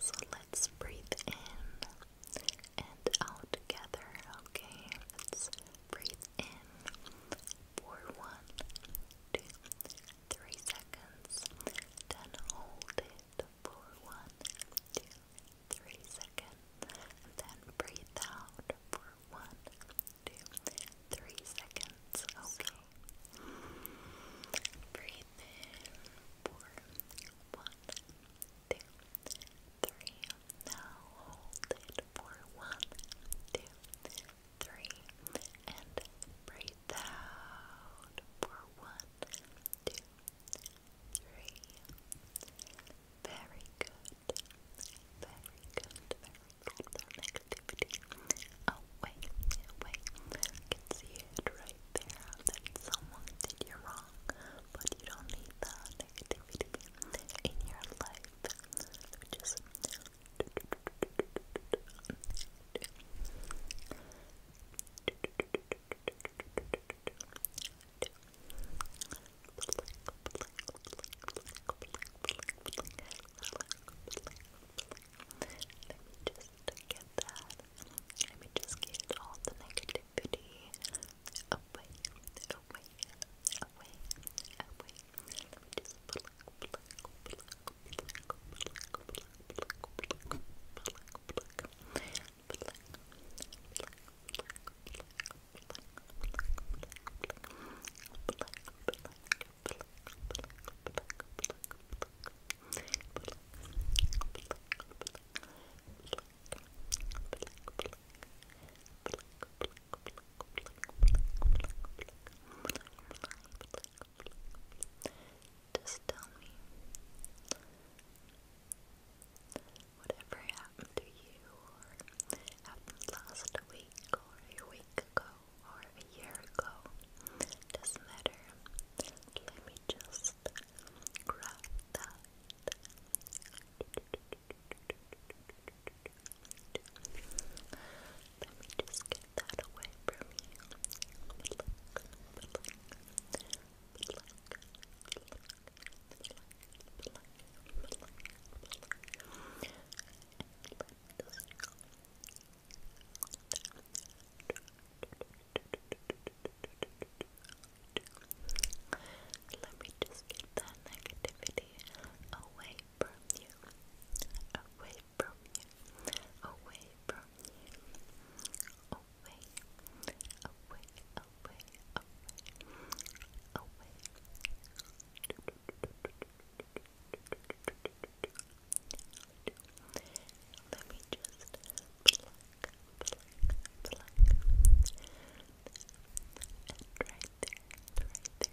So let's breathe in and out together, okay? breathe in for one, two, three seconds, then hold it for one, two, three seconds, then breathe out for one, two, three seconds, okay? Breathe in for Now hold it for and breathe out for Very good. Very good. Very good. No negativity away, away. I can see it right there that someone did you wrong, but you don't need that negativity in your life. just just get that. Let me just get all the negativity away, away, away, away. Just tell me whatever happened to you or happened last week or a week ago or a year ago. Doesn't matter. Let me just grab that. Let me just get that away from you. Let me just get that negativity away from you. Away from you. Away from you. Away. Away. Away. Away. Away. Let me just pluck, pluck, pluck. right there, right there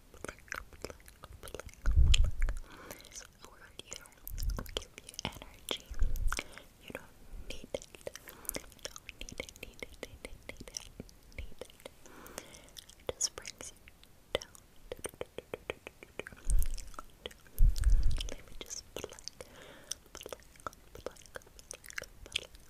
pluck, you, give you energy. You do need it. need it, need it, need it, need it, need it. just brings you down. Let me just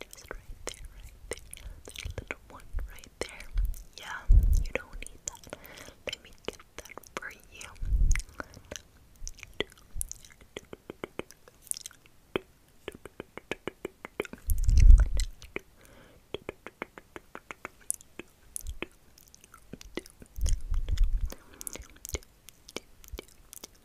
Just right there, right there. little one right there. Yeah, you don't need that. Let me get that for you.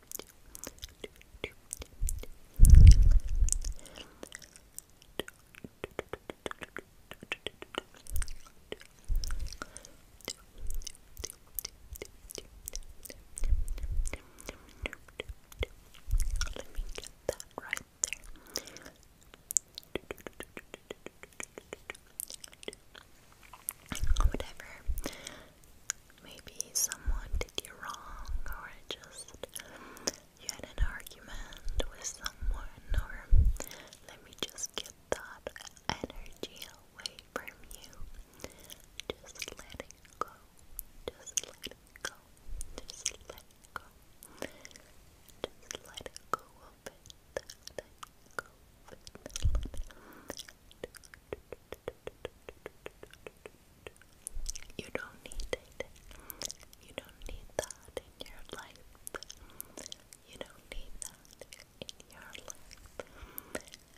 Let me get that right there. Whatever maybe someone did you wrong or just you had an argument with someone or let me just get that energy away from you. Just let it go. Just let it go. Just let it go. Just let it go Let it go Let it go. You don't need it. You don't need that in your life. You don't need that in your life.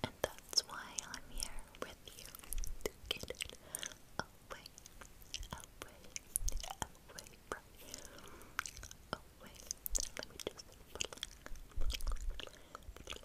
And that's why I'm here with you to get it away, away, away from you. Away. Let me just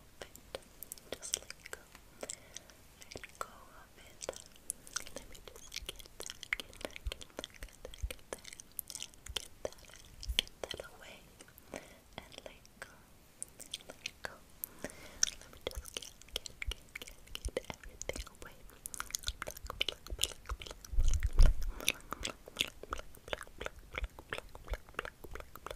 of it. Just let go. Let go of it. Let me just get that, get that, get that, get that, get that, get that, away. And let go. Let go. Let me just get, get, get, get, everything away.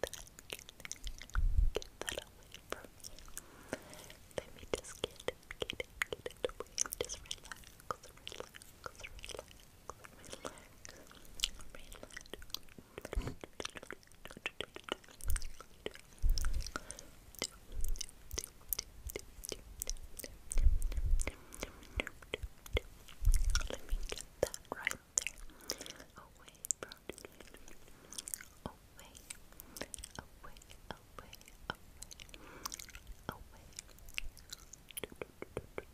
that, get Let me just get it, get it, get it away. Just relax. Let me get that right there. Away from away, away, away, away, away.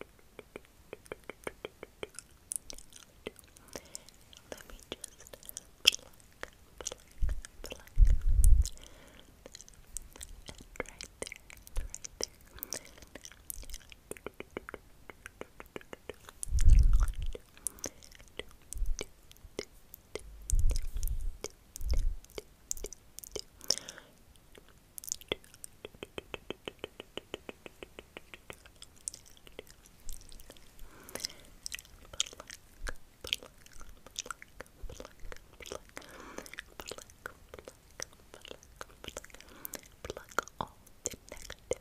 Let me just pluck, pluck, pluck. right there, right there. Pluck all the negative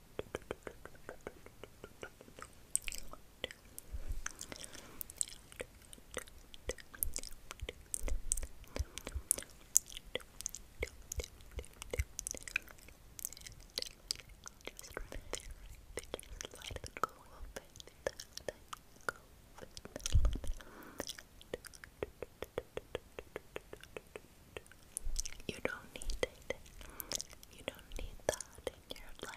Just right there, right there. Just let it go open. Let it go open. You don't need it. You don't need that in your life.